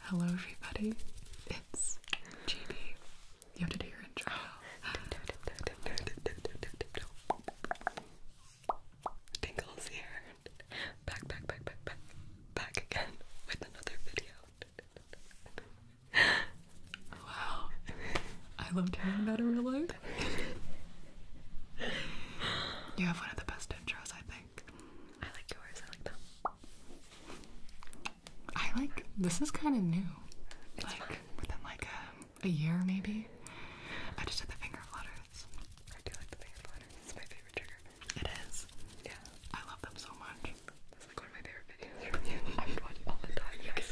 Hello, everybody. It's Jeannie. You have to do your intro. Tingle's here. Back, back, back, back, back, back again with another video. wow. I love hearing that in real life. you have one of the best intros, I think. I like yours. I like them. I like. This is kind of new. like within like a, a year maybe. I just did the finger flutters. I do like the finger flutters. It's my favorite trigger. It is. Yeah. I love them so much. That's like one of my favorite videos from you. I would watch all the time. I'd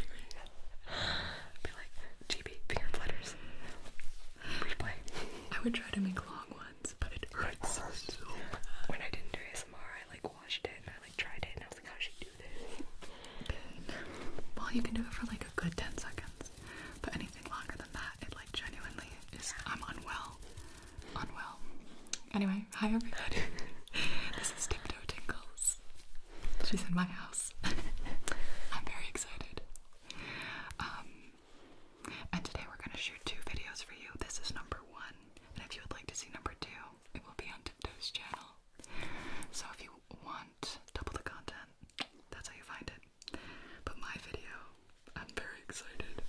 be like, GB, finger flutters. Replay. I would try to make long ones but it so bad. When I didn't do ASMR, I like watched it and I like tried it and I was like, how does she do this? Well, you can do it for like a good 10 seconds, but anything longer than that, it like genuinely is, I'm unwell. Unwell. Anyway, hi everybody. this is Tiptoe Tingles. She's in my house. I'm very excited. Um, and today we're going to shoot two videos for you. This is number one, and if you would like to see number two, it will be on Tiptoe's channel. So if you want double the content, that's how you find it. But my video, I'm very excited.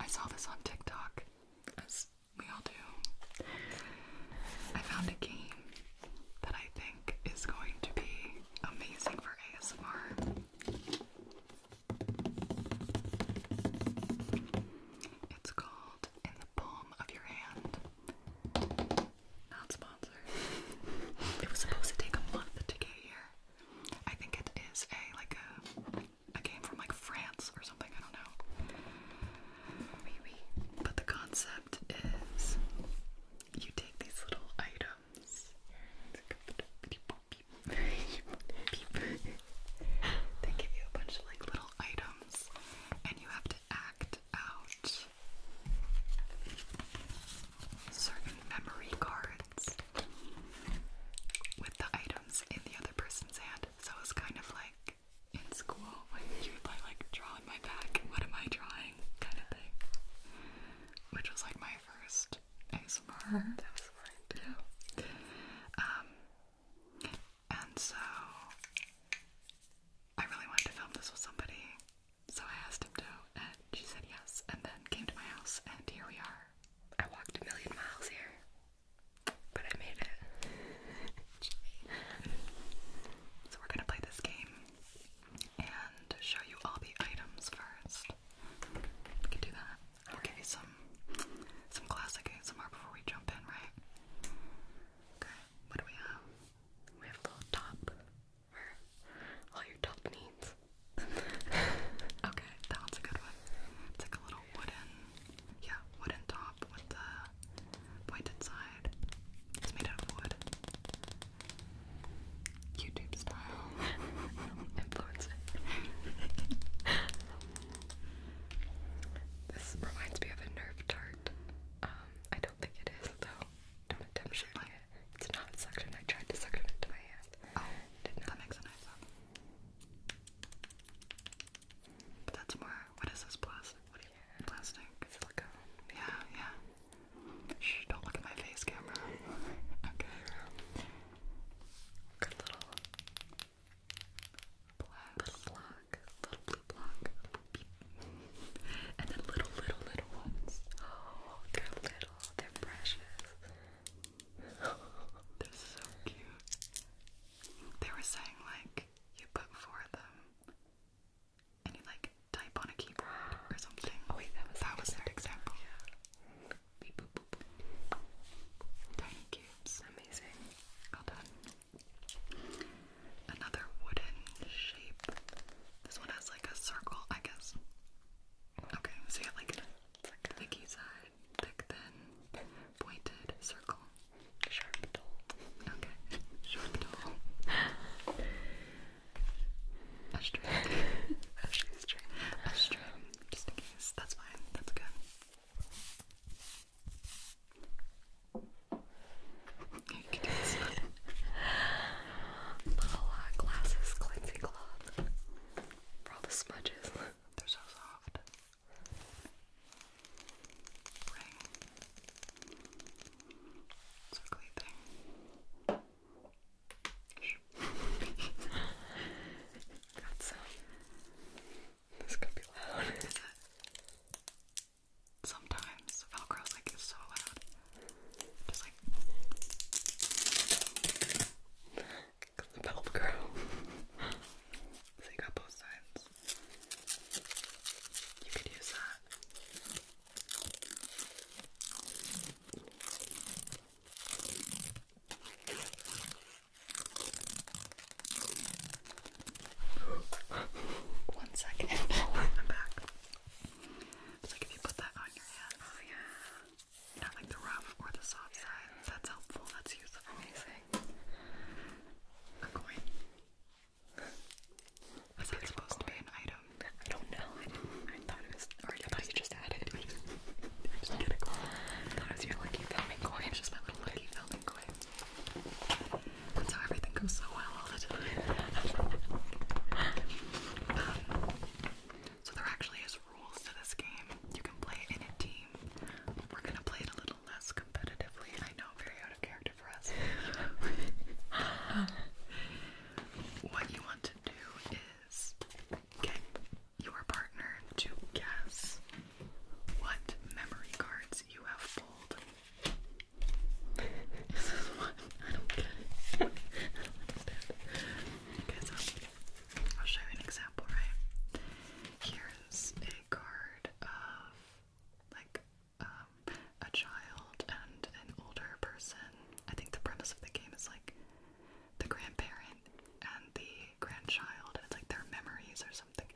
I saw this on TikTok, as we all do. I found a game that I think is going to be amazing for ASMR. It's called In the Palm of Your Hand. Not sponsored. it was supposed to take a month to get here. I think it is a like a a game from like France or something, I don't know. Maybe. But the concept is you take these little items beep, They give you a bunch of like little items, and you have to act out certain memory cards with the items in the other person's hand. So it's kind of like in school when you would like draw on my back, what am I drawing kind of thing, which was like my first ASMR. That was fine too. Um, and so I really wanted to film this with somebody, so I asked him to, and she said yes, and then came to my house, and here we are. I walked a million miles here, but I made it. so we're gonna play this game and show you all the items first. We can do that. I'll give you some some classic ASMR before we jump in, right? Okay, what do we have? We have a little top for all your top needs. okay, that one's a good one. It's like a little wooden, yeah, wooden top with the pointed side. It's made out of wood. YouTube style. Influencer. this reminds me of a Nerf tart. Um, I don't think it is though. Don't attempt shooting it. It's not suction. I tried to suction it to my hand. Oh, That makes a But that's more. What is this plastic? What you, yeah. Plastic. Silicone. Yeah, yeah. Shh! Don't look at my face camera. okay. Good little black little block, little blue block, and then little, little, little ones. Oh, they're little, they're precious. they're so cute. They were saying like you put four of them, and you like type on a keyboard or something. Oh wait, that was their example. Tiny cubes, amazing. Well done. Another wooden shape. This one has like a circle, I guess. Okay, so you have like a thicky side, thick, thin, pointed, circle. Sharp dull. Okay. Sharp dull. A string. A that's fine. That's good. You uh, glasses cleansing cloth for all the smudges. They're so soft. Right. Circly thing. Got some. This could be loud. Sometimes Velcro's like is so loud. Just like Velcro. so you both sides. You could use that. One second. I'm back. like if you put that on your hand. Oh yeah. Not like the rough or the soft side. That's helpful. That's useful. Amazing. A coin. Is that supposed to be an item? I don't know. I thought it was Alright, I you just added. i was your lucky filming coin. just my little lucky filming coin. That's everything goes so well all the time. so there actually is rules to this game. You can play in a team. We're gonna play it a little less competitively. I know, very out of character for us. what you want to do is get your partner to guess what memory cards you have pulled. this is one I don't get it. I don't understand. Okay, so I'll show you an example, right? Here's a card of like um, a child and an older person. I think the premise of the game is like the grandparents and the grandchild, and it's like their memories or something.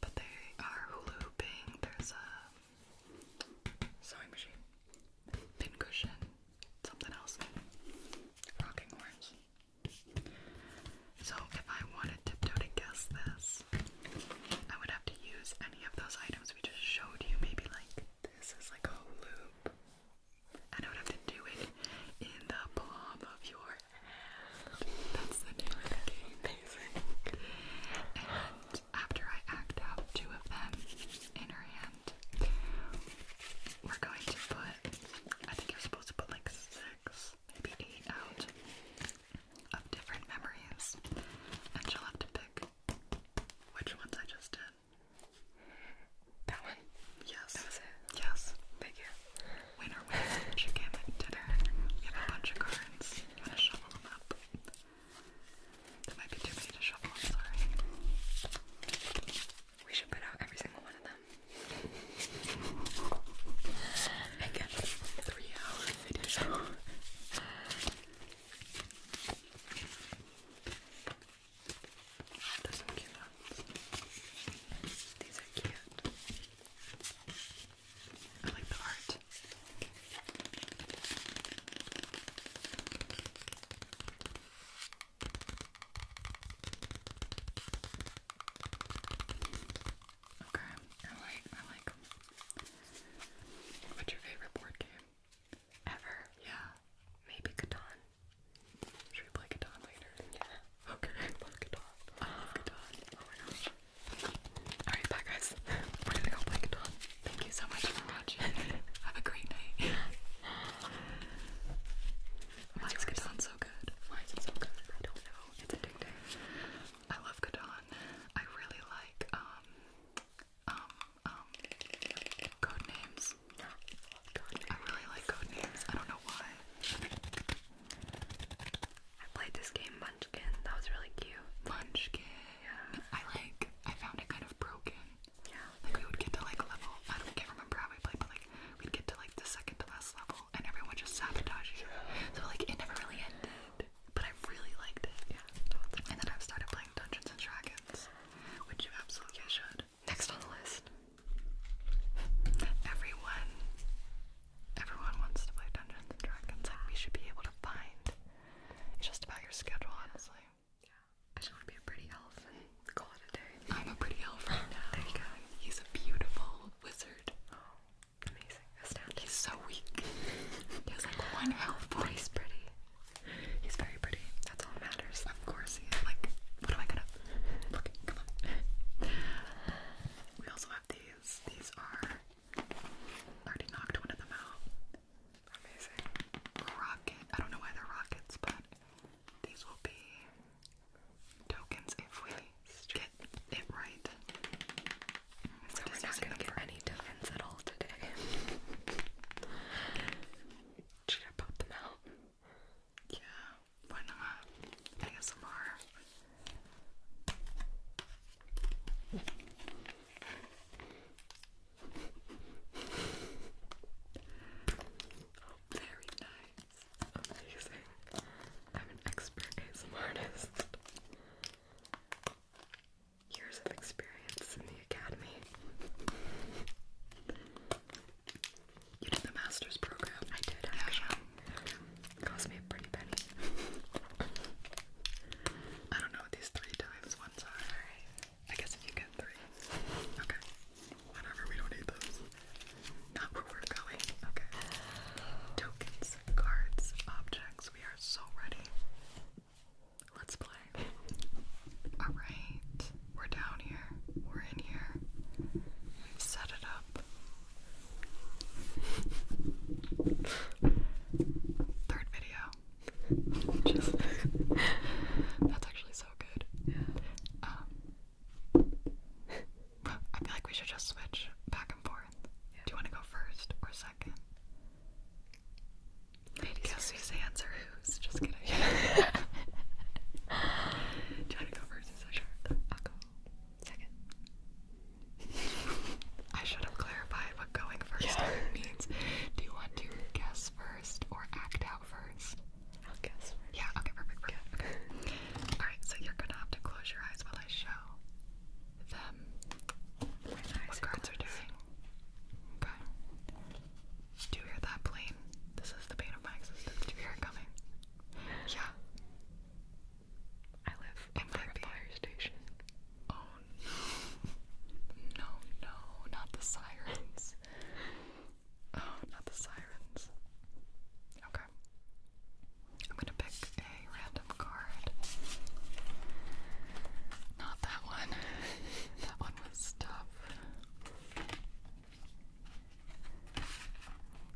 But they are hula hooping. There's a sewing machine, pin cushion, something else, rocking horse. So if I wanted Tiptoe to guess this, I would have to use any of those items we just showed you. Maybe like this is like a loop, I don't have to do it in the palm of your hand. That's the name of the game. Amazing. And after I act out two of them in her hand, we're going to put, I think you're supposed to put like six, maybe eight out of different memories. And she'll have to pick which ones I just did. That one? Yes. Yes. Thank you. Winner wins. you dinner. You have a bunch of cards. You gotta shovel them up. There might be too many to shovel, sorry. We should put out every single one of them. I three hour video. There's some cute ones. These are cute. I like the art. Okay, I like, I like. What's your favorite board game? Ever? Yeah. Maybe Catan. Should we play Catan later? Yeah. Okay, I love Catan. Oh Alright, bye guys. We're gonna go play Catan. Thank you so much for watching. Have a great night. Why is so good? Why is it so good? I don't know. It's addicting. I love Catan. I really like, um, um, um, code names. I really like code names. I don't know why. I played this game Munchkin. That was really cute. Munchkin. Yeah. I like. I found it kind of broken. Yeah. Like we would get to like level. I don't remember how we played, but like we'd get to like the second to last level, and everyone just sabotaged you. So like it never really ended. But I really liked it. Yeah. And then I've started playing Dungeons and Dragons, which you absolutely should. Next on the list. Everyone everyone wants to play Dungeons and Dragons. Like we should be able to find just about your schedule, honestly. Yeah. I just be a pretty elf and call it a day. I'm a pretty elf There you go. He's a beautiful wizard. amazing. He's so weak. he has like one health point. He's pretty. He's very pretty. That's all that matters. Of course he Like, what am I gonna look? Come on. We also have these. These are already knocked one of them out. Amazing. Rocket. I don't know why they're rockets, but these will be tokens if we get it right. So we're not gonna get any tokens at all today. Should I pop them out? Yeah, why not? ASMR. Oh, very nice. Amazing. I'm an expert ASMR artist. Years of experience in the academy. You did the master's program. I did, actually. Yeah. Cost me a pretty penny. I don't know what these three times ones are. I guess if you get three. Okay. Whatever, we don't need those. Not where we're going. Okay. Tokens, cards, objects. We are so ready. Let's play. Alright, we're down here. We're in here. We've set it up. 3rd video. That's actually so good. Yeah. Um I feel like we should just switch back and forth. Yeah. Do you want to go first or second? Guess whose hands are whose? Just kidding. Do you want to go first? I'll go second. I should have clarified what going first means. Do you want to guess first or act out first? I'll guess Yeah, okay, perfect. perfect. Alright, so you're gonna have to close your eyes while I show them what cards are doing. Okay. Do you hear that plane? This is the pain of my existence. Do you hear it coming? Yeah. I live over a station. Oh no. No, not the sirens. Oh, not the sirens. Okay. I'm gonna pick a random card. Not that one. that was stuff.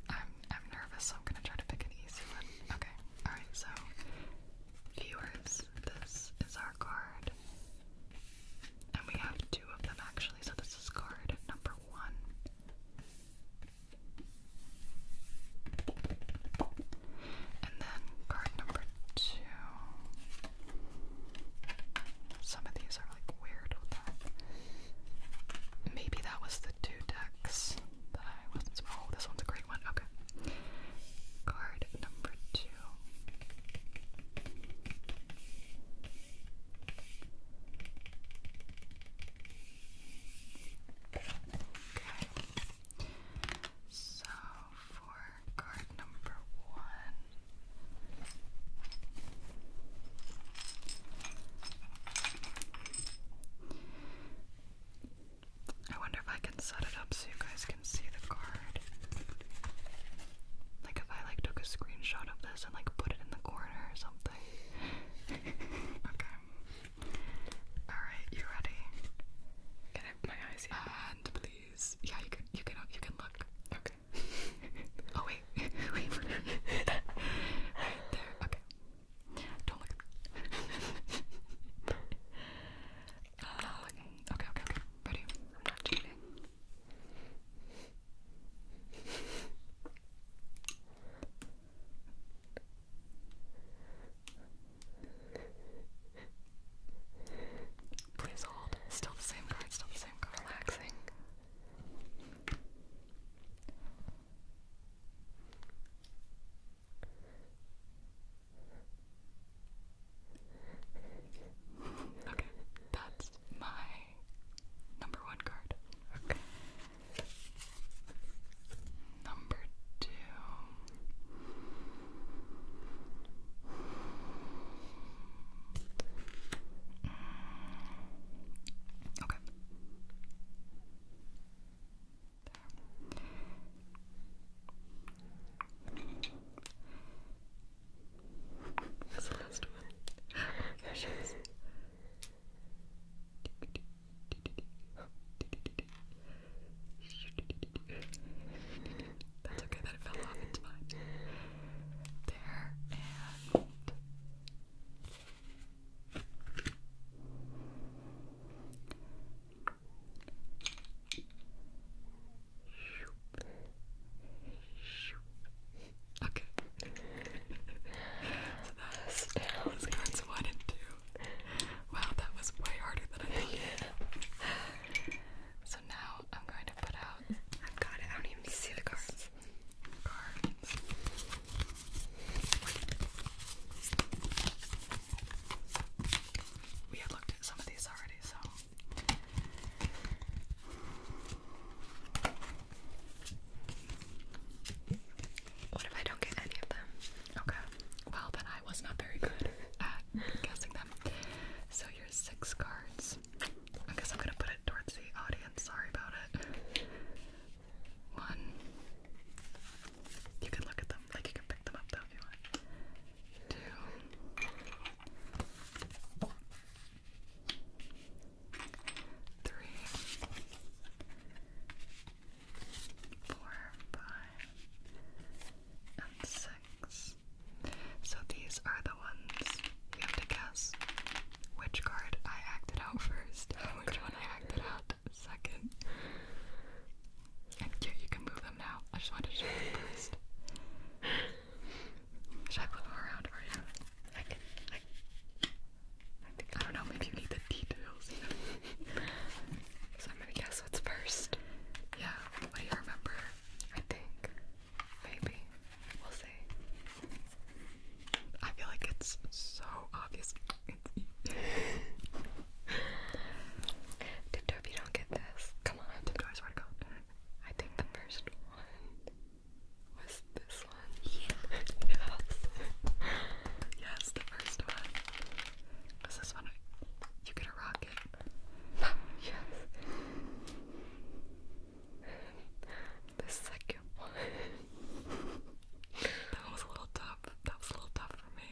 I'm I'm nervous, so I'm gonna try to pick an easy one. Okay, alright, so viewers, this is our card. And we have two of them actually, so this is card number one. And then card number two some of these are like weird Maybe that was the two decks Oh, this one's a great one. Okay. Card number two. Okay. So for card number one. I wonder if I can set it up so you guys can see the card. Like if I like took a screenshot of this and like put it in the corner or something. okay. Alright, you ready? Can I my eyes And please these. Yeah, you can you can you can look. Okay. oh wait, there. Okay. Don't look. Uh, okay, okay, okay. Ready? I'm not cheating. Please hold. Still the same card, still the same card. Relaxing. Okay, that's my number one card. Okay. Number two. Okay. That's the last one. There that's okay that it fell off, into my There, and... Okay. so that was cards one and two. Wow, that was way harder than I thought. So now I'm going to put out. I've got it. I don't even see the cards. Cards. We had looked at some of these already, so. What if I don't get any of them? Okay. Well, then I was not very good at guessing them. So your six cards. I guess I'm gonna put it towards the audience, sorry about it. One. You can look at them, like you can pick them up though if you want. Two. Three. Four, five, and six. So these are the ones you have to guess which card I acted out first, oh, which one I acted out second. yeah, you can move them now. I just wanted to show them first. Should I flip them around for you? I don't know. Maybe you need the details. so I'm gonna guess what's first. Yeah. What remember? I think. Maybe. We'll see. I feel like it's so obvious. Tiptoe if you don't get this. Come on. Tiptoe, I swear to God. I think the first one was this one. Yeah. yes. yes, the first one. Was this one? You get a rock yes. The second one. that was a little tough. That was a little tough for me.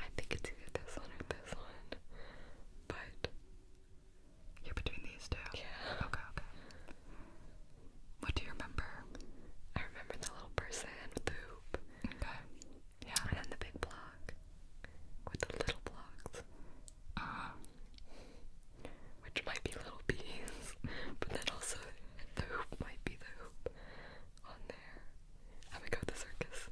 I think it's either this one or this one. But. You're between these two? Yeah. Okay, okay. What do you remember? I remember the little person with the hoop. Okay. Yeah. And the big block with the little blocks. Um, which might be little bees, but then also the hoop might be the hoop on there. I would go to the circus.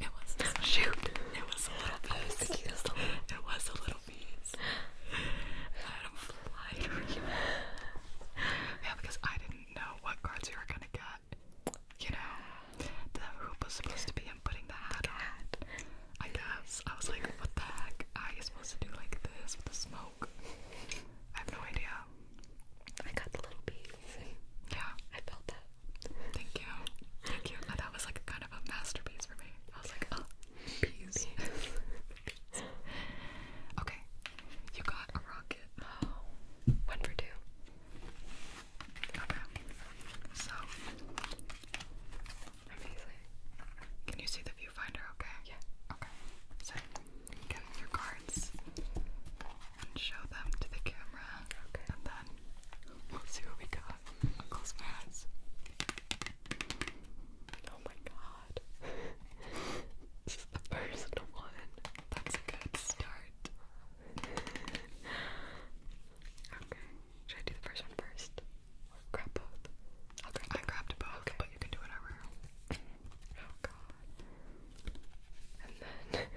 It was shoot. It was a little bees. It was little bees. I don't fly. yeah, because I didn't know what cards you were gonna get you know, the hoop was supposed to be him putting the hat on. I guess. I was like, what the heck? Are you supposed to do like this with the smoke? I have no idea. I got the little piece. Yeah. I felt that. Thank you. Thank you. That was like kind of a masterpiece for me. I was like, oh, peas. okay. You got a rocket. One for two. Okay. So amazing. Can you see the viewfinder okay? Yeah. Okay. So get your cards and show them to the camera. Okay. And then we'll see what we got. close my eyes. Oh my god. this is the first one. That's a good start okay, should I do the first one first? Or grab both? i grabbed both, but you can do whatever. oh god. And then,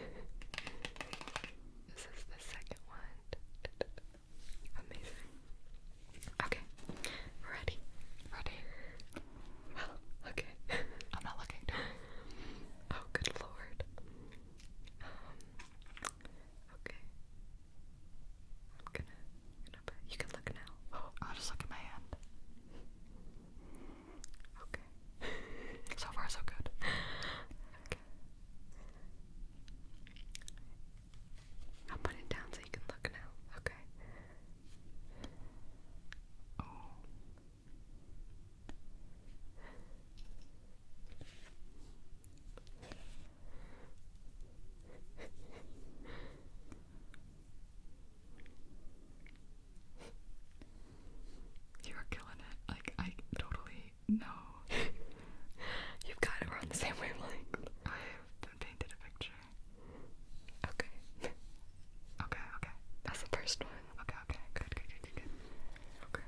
this is the second one. Amazing. Okay, ready? Ready? Well, okay. I'm not looking, Oh, good lord. Um, okay. I'm gonna, you can look now. I'll just look at my hand. Okay. so far, so good. Okay. I'll put it down so you can look now. Okay. Oh. You're killing it. Like, I totally know. You've got it. on the same wavelength. I've painted a picture. Okay. okay, okay. That's the first one. Okay, okay, good, good, good, good, Okay.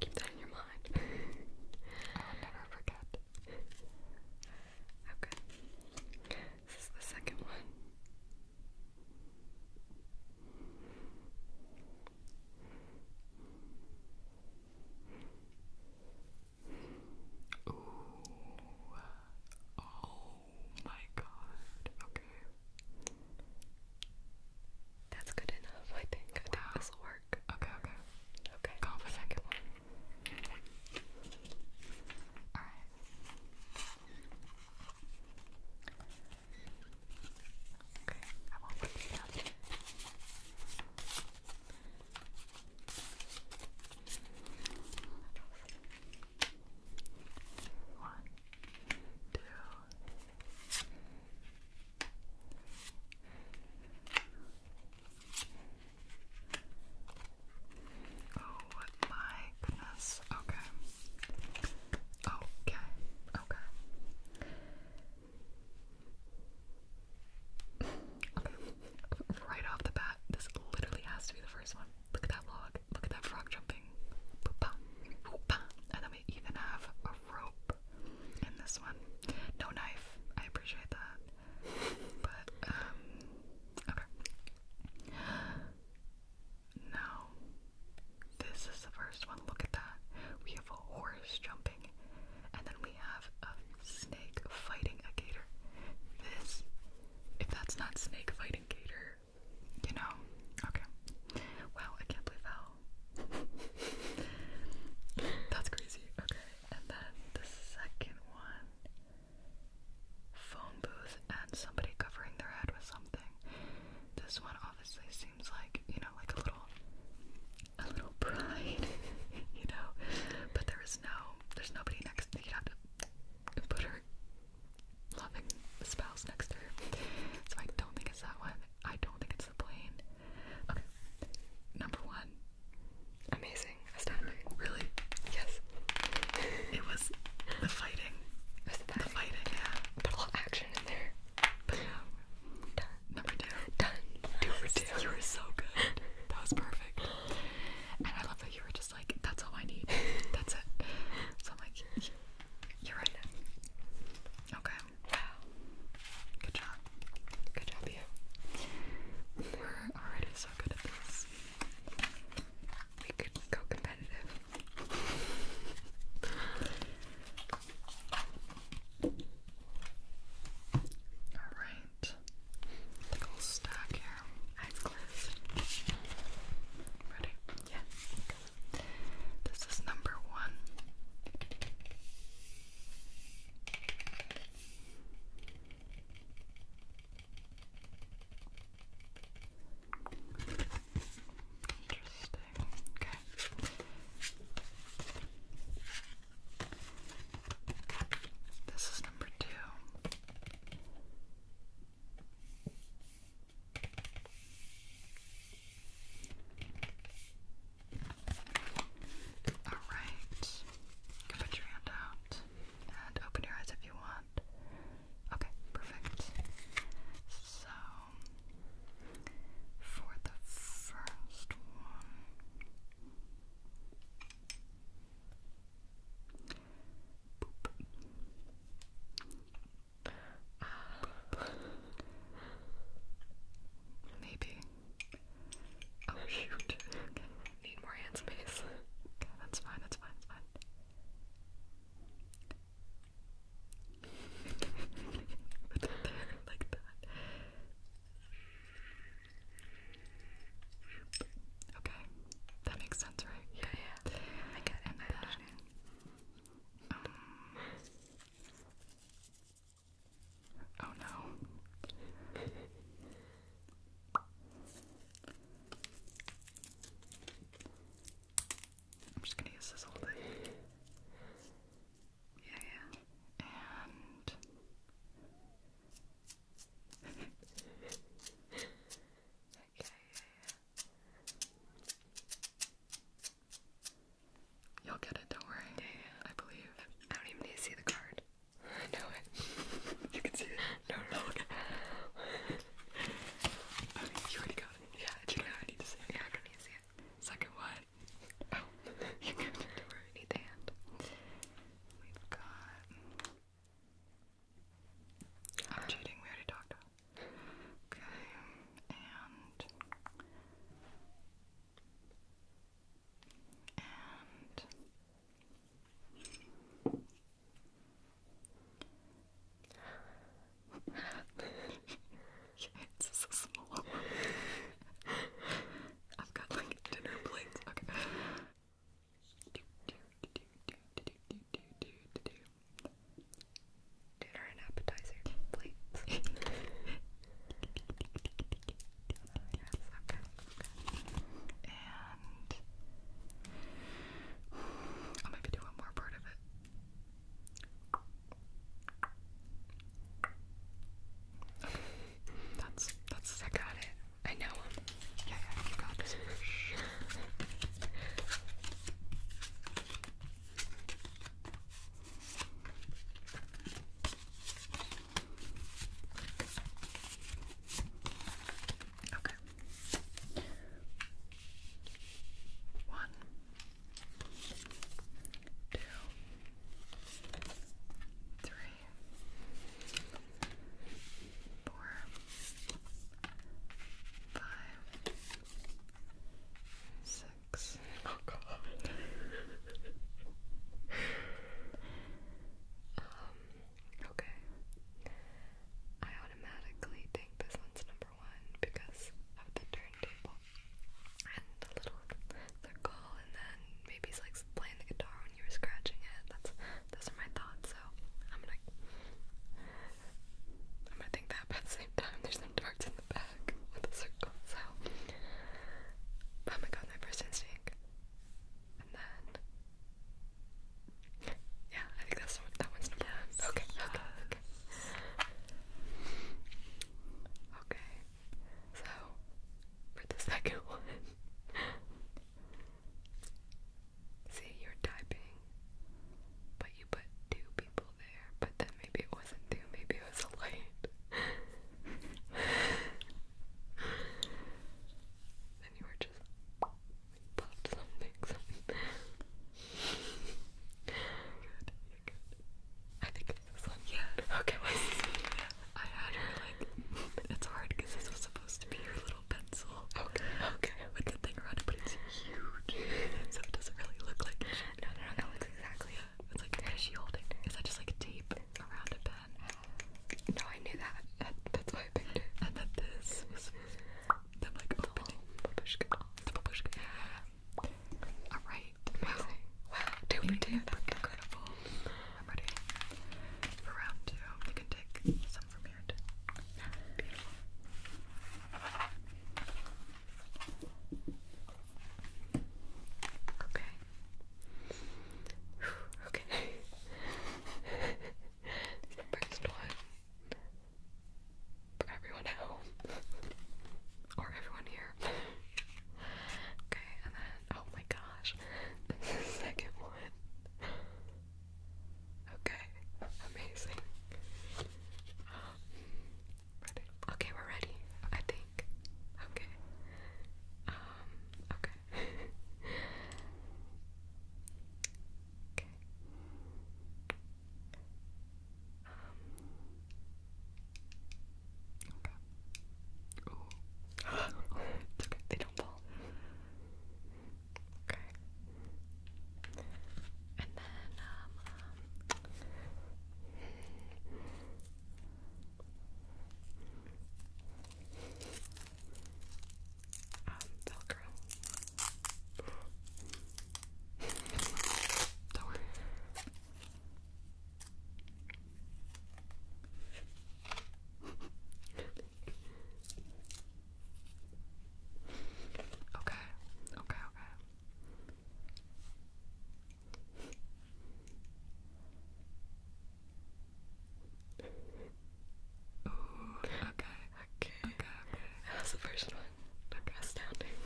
Keep that in your mind. I'll never forget. Okay. This is the second one. Oh my god. Okay. That's good enough, I think. I think wow. this will work. Okay, okay. Okay. Go for the second one. Alright. Okay, I won't put it down. One, two, oh my goodness, okay, okay, okay. okay, right off the bat, this literally has to be the first one. Look at that log. Look at that frog jumping. And then we even have a rope in this one. No knife. I appreciate that. But, um, okay. No. This is the first one. Look at that. We have a horse jumping. And then we have a snake fighting a gator. This, if that's not snake fighting gator, you know? Okay. Wow, I can't believe how. That's crazy. Okay, and then the second one phone booth and somebody covering their head with something. This one obviously seems like, you know, like a little. A little pride, you know, but there is no, there's nobody next. You'd have to put her loving spouse next to her. So I don't think it's that one. I don't think it's the plane. Okay. Number one. Amazing. Really? Yes. It was the fighting. Was The fighting, yeah. Put a lot of action in there. But yeah. Done. Number two. Done. Number two. You were so good. That was perfect. And I love that you were just like, that's all I need. That's it. So I'm like, you're right. Okay. Wow. Good job. Good job, you. We're already so good at this. We could go competitive. Alright. little stack Eyes closed. Ready? Yeah. This is number one. Interesting. Okay. This is number two. Alright, you can put your hand out and open your eyes if you want. Okay, perfect. So, for the first one, maybe. Oh shoot. Need more hand space. that's fine, that's fine, that's fine. that Okay. That makes sense, right? Yeah, yeah. I get it. Um, oh no. I'm just gonna use this Yeah, yeah. You'll get it, don't worry. Yeah, yeah. I believe. I don't even need to see the card. I know you can see it. No, no, you already got it. Yeah, you don't need to see it. Yeah, I don't need to see it. Second one. Oh, you can. Don't Need the hand. We've got. I'm cheating, we already talked about it. Okay, and and it's so small. I've got like dinner plates. Okay. Dude, or an appetizer, please. uh, yes, okay, okay. And I'll maybe do one more part of it. Okay, that's that's I got it. I know him. Yeah, yeah, Okay. One, two, three, four, five, six. Oh God. um. Okay. I automatically think this one's number one because of the turntable and the little circle, and then maybe it's like playing the guitar when you were scratching it. That's those are my thoughts. I'm gonna I'm gonna think that but at the same time there's some darts in the back with a circle, so but I'm my first instinct. And then Yeah, I think that's that one's number yes. Okay, okay, okay. Okay. So for the second one See, you're typing, but you put two people there, but then maybe it wasn't two, maybe it was a light. then you were just popped something, good, good. I think it's this one. Yeah. Okay. I had her like, it's hard because this was supposed to be your little pencil. Okay, okay. a good thing around it, but it's huge. so it doesn't really look like. No, no, no, no, it's exactly. Yeah, it's like, what is she holding? Is that just like tape around a pen? No, I knew that. that's why I picked it. And then this Alright. Amazing. Wow. Two for two. Incredible. I'm ready for round two. You can take some from mirrored. Beautiful. Okay. Okay. First one for everyone at home or everyone here. okay, and then oh my gosh, the second one. Okay, amazing. ready? Okay, we're ready, I think. Okay. Um, okay. okay. Um, okay. Ooh. it's okay, they don't fall. Okay. And then, um, um Velcro. Don't worry okay, okay, okay. okay, okay, okay, okay. That the first one. Okay. Astounding.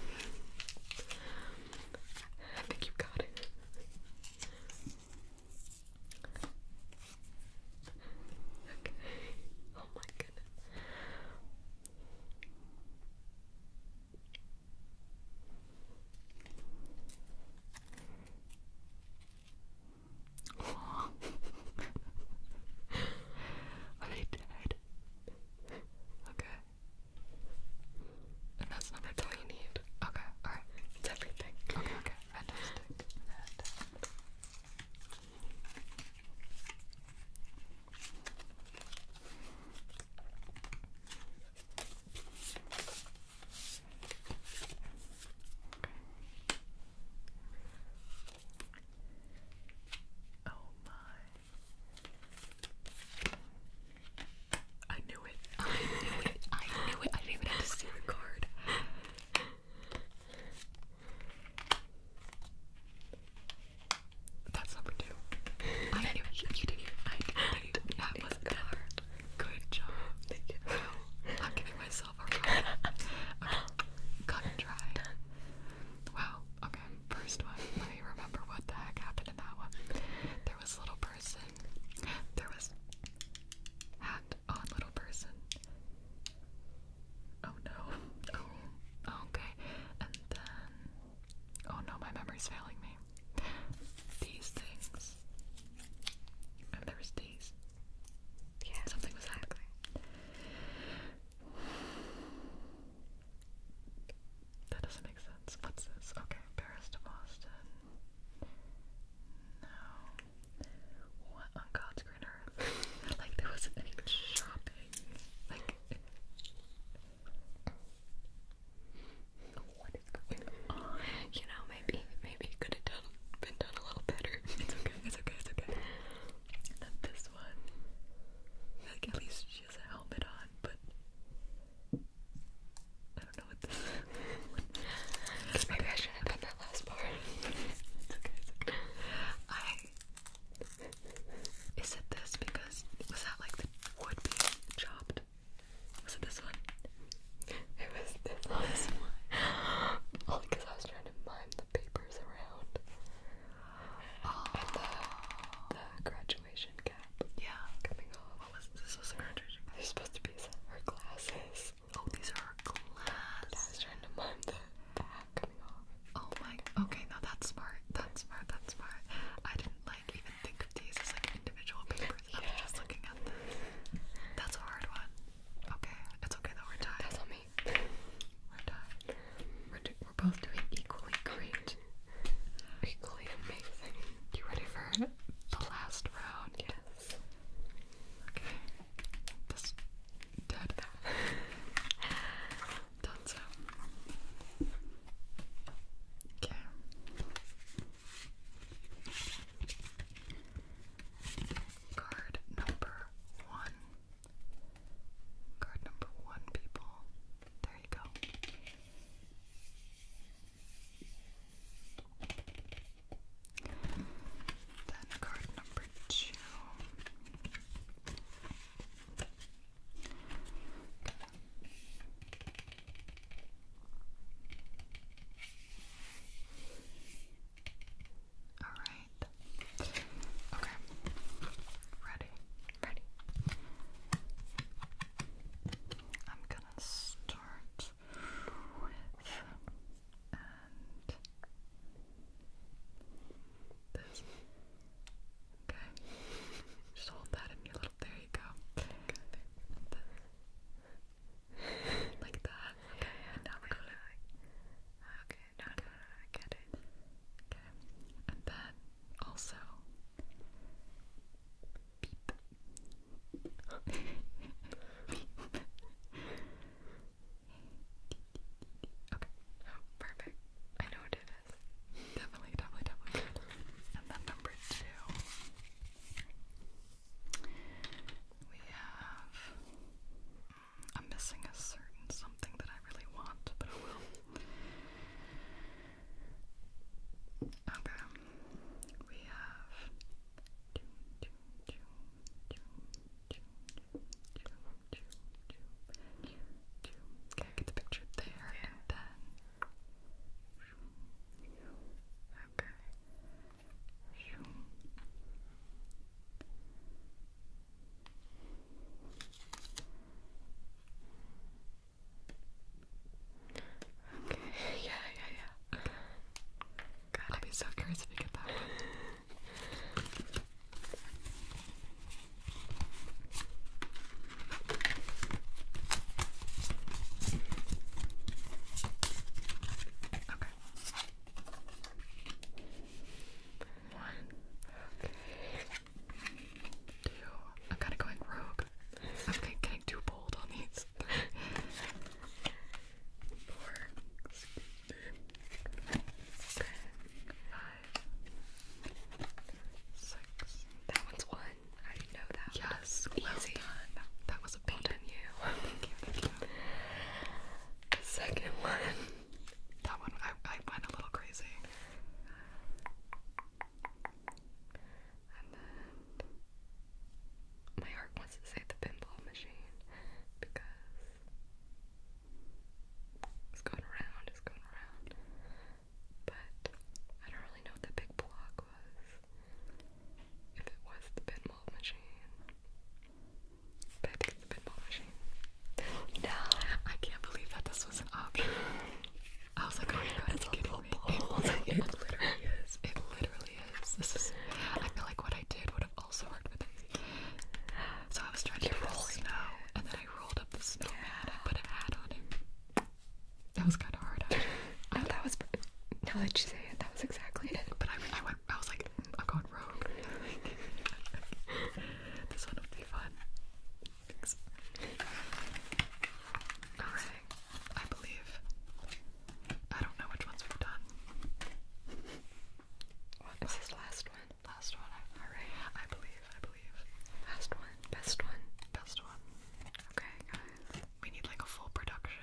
I think you got it. Okay. Oh my goodness. Are they dead? Okay. And that's not that's you need. Okay, alright. It's everything. Okay, okay. Fantastic. Fantastic. Oh my. I knew it. I knew it. I knew it. I didn't even have to see the card. That's number two. I you, did it. I knew you that was good. Hard. Good job. Thank you. I'm giving myself a round. Okay. Cut and dry. Done. Wow. Okay. First one. Let me remember what the heck happened in that one. There was little person. There was hat it little person? Oh no. Oh, oh, okay. And then. Oh no, my memory's failing me. These things. And there was these. Yeah. Something was happening. That doesn't make sense. What's this? Okay, Paris to Boston. No. What on God's green earth? like there was any shopping. Like You know, maybe maybe could have done been done a little better. It's okay, it's okay, it's okay. And then this one. Like at least she has a helmet on, but I don't know maybe I shouldn't have that last part. Is it this? Because. Was that like the wood being chopped? Was it this one? It was this one. because I was trying to mime the papers around. Oh. And the, graduation cap. Yeah. Coming off. was this? supposed to be her glasses. Oh, these are glass. I was trying to mime coming off. Oh my. Okay, now that's smart. That's smart. That's smart. I didn't like even think of these as like individual papers. I was just looking at this. That's a hard one. Okay, it's okay though. We're tied. That's on me. We're tied. we're both doing equally great. Equally amazing. You ready for the last round? Yes. Okay das dörde. Dansa. Okej. Okay. Card number one. Card number one, people. There you go. Then card number two. All right. Okay. Ready. Ready. I'm gonna start with and Okay, just hold that in your little. There you go. like that. Okay, now we're gonna. Okay, no, okay. no, no, I get it. Okay, and then also. Okay, oh, perfect. I know what it is. Definitely, definitely, definitely. And then number two, we have. Mm, I'm missing a certain something that I really want, but I will. Okay, we have Okay, get the picture there and then. Okay. Okay, yeah, yeah, yeah. God, I'd be so curious if you get that Okay. One. Two. I'm kind of going rogue. I'm getting too bold on these. Four. That one's one. I didn't know that. Yes. easy. That was a well done thank you. you. The second one. That one I I went a little crazy. And then my heart wants to say the pinball machine because it's going around, it's going around. But I don't really know what the big block was. If it was the pinball machine. it's the pinball machine. No. I can't believe that this was an option. I was like, oh it's a little It literally is. It literally this is. I feel like what I did would have also worked with it. So I was trying to roll snow, and then I rolled up the snowman. Yeah. I put a hat on him. That was kind of hard. no, oh, that was. Now that you say it, that was exactly it. But I, I went. I was like, I'm going wrong. this one would be fun. All right something, I believe. I don't know which ones we've done. What was his last one? Last one. I, All right. I believe. I believe. Last one. Best one. Best one. Okay, guys. We need like a full production.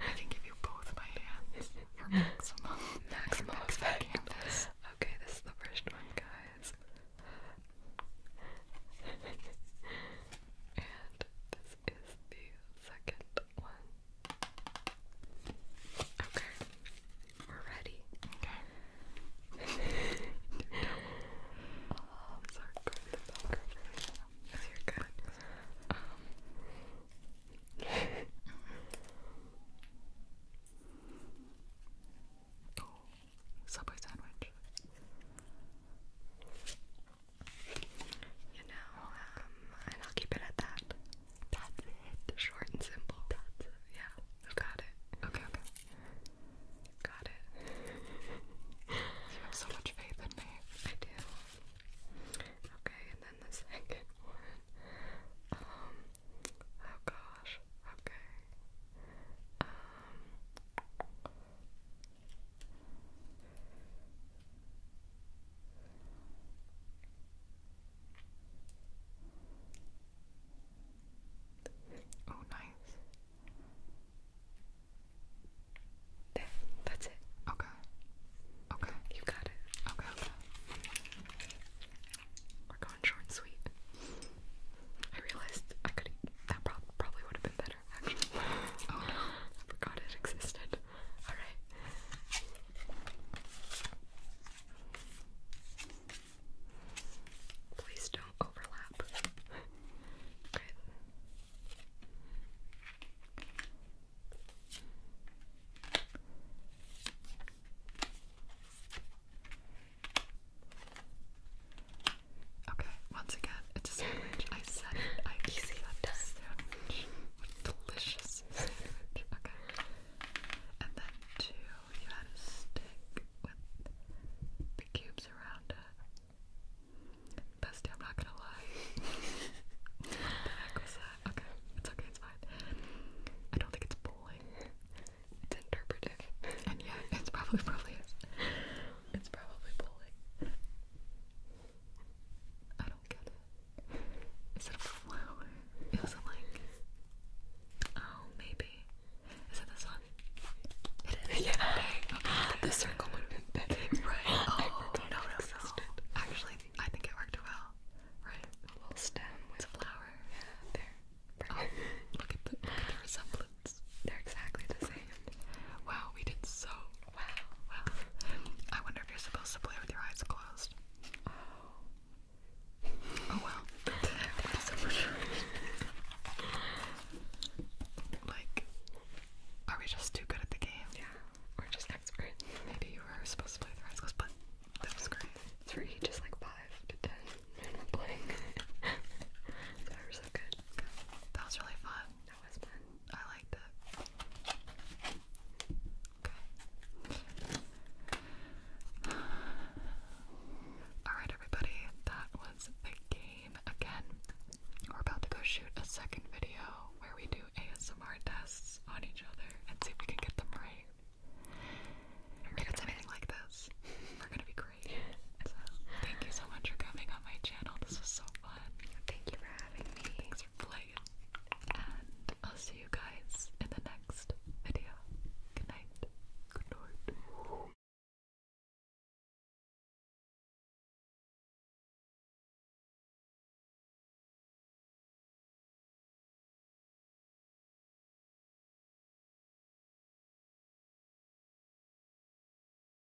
I can give you both my hands for maximum. maximum effect. Canvas. Okay, this is the first one, guys. and this this is the second one. Okay. We're ready. Okay. Um, sorry, you're good. Um. Subway sandwich. You know, um, and I'll keep it at that. That's it. Short and simple. That's Yeah, I've got it. Okay, okay. Got it. you have so much faith in me. I do. Okay, and then the second one. Um, oh gosh. Okay. Um, Oh, nice. There, that's it. Okay. Okay. You got it. Okay, We're going short and sweet. I realized I could that probably would have been better better, actually. Oh no, I forgot it existed. Alright. Please don't overlap. okay. Okay. Okay, once again, it's a sandwich. I said I easy that sandwich. delicious sandwich. Okay. And then two, you had a stick with the cubes around it. Bestie, I'm not gonna lie. what the heck was that? Okay, it's okay, it's fine. I don't think it's bowling. It's interpretive. And yeah, it's probably probably is. It's probably bowling. I don't get it. Is it a flower? It was like. Oh, maybe. Is it this one? It is. Yeah. The circle would have been better. Right. Oh, no, no, Actually, I think it worked well. Right. A little stem with a flower. Yeah, there. Oh, look, at the, look at the They're exactly the same. Wow, we did so Wow. Wow. I wonder if you're supposed to play with your eyes closed. Oh. well. Like, are we just too good at the game? Yeah. We're just experts. Maybe you were supposed to play with your eyes closed, but that was great. Three, just like five to ten, playing. that was so good. That was really fun. I liked it. Okay. Alright, everybody, that was the game again. We're about to go shoot a second video where we do ASMR tests on each other and see if we can get them right. If it's anything like this, we're gonna be great. thank you so much for coming on my channel. This was so fun. Thank you for having me. Thanks for playing. And I'll see you guys in the next video. Good night. Good night.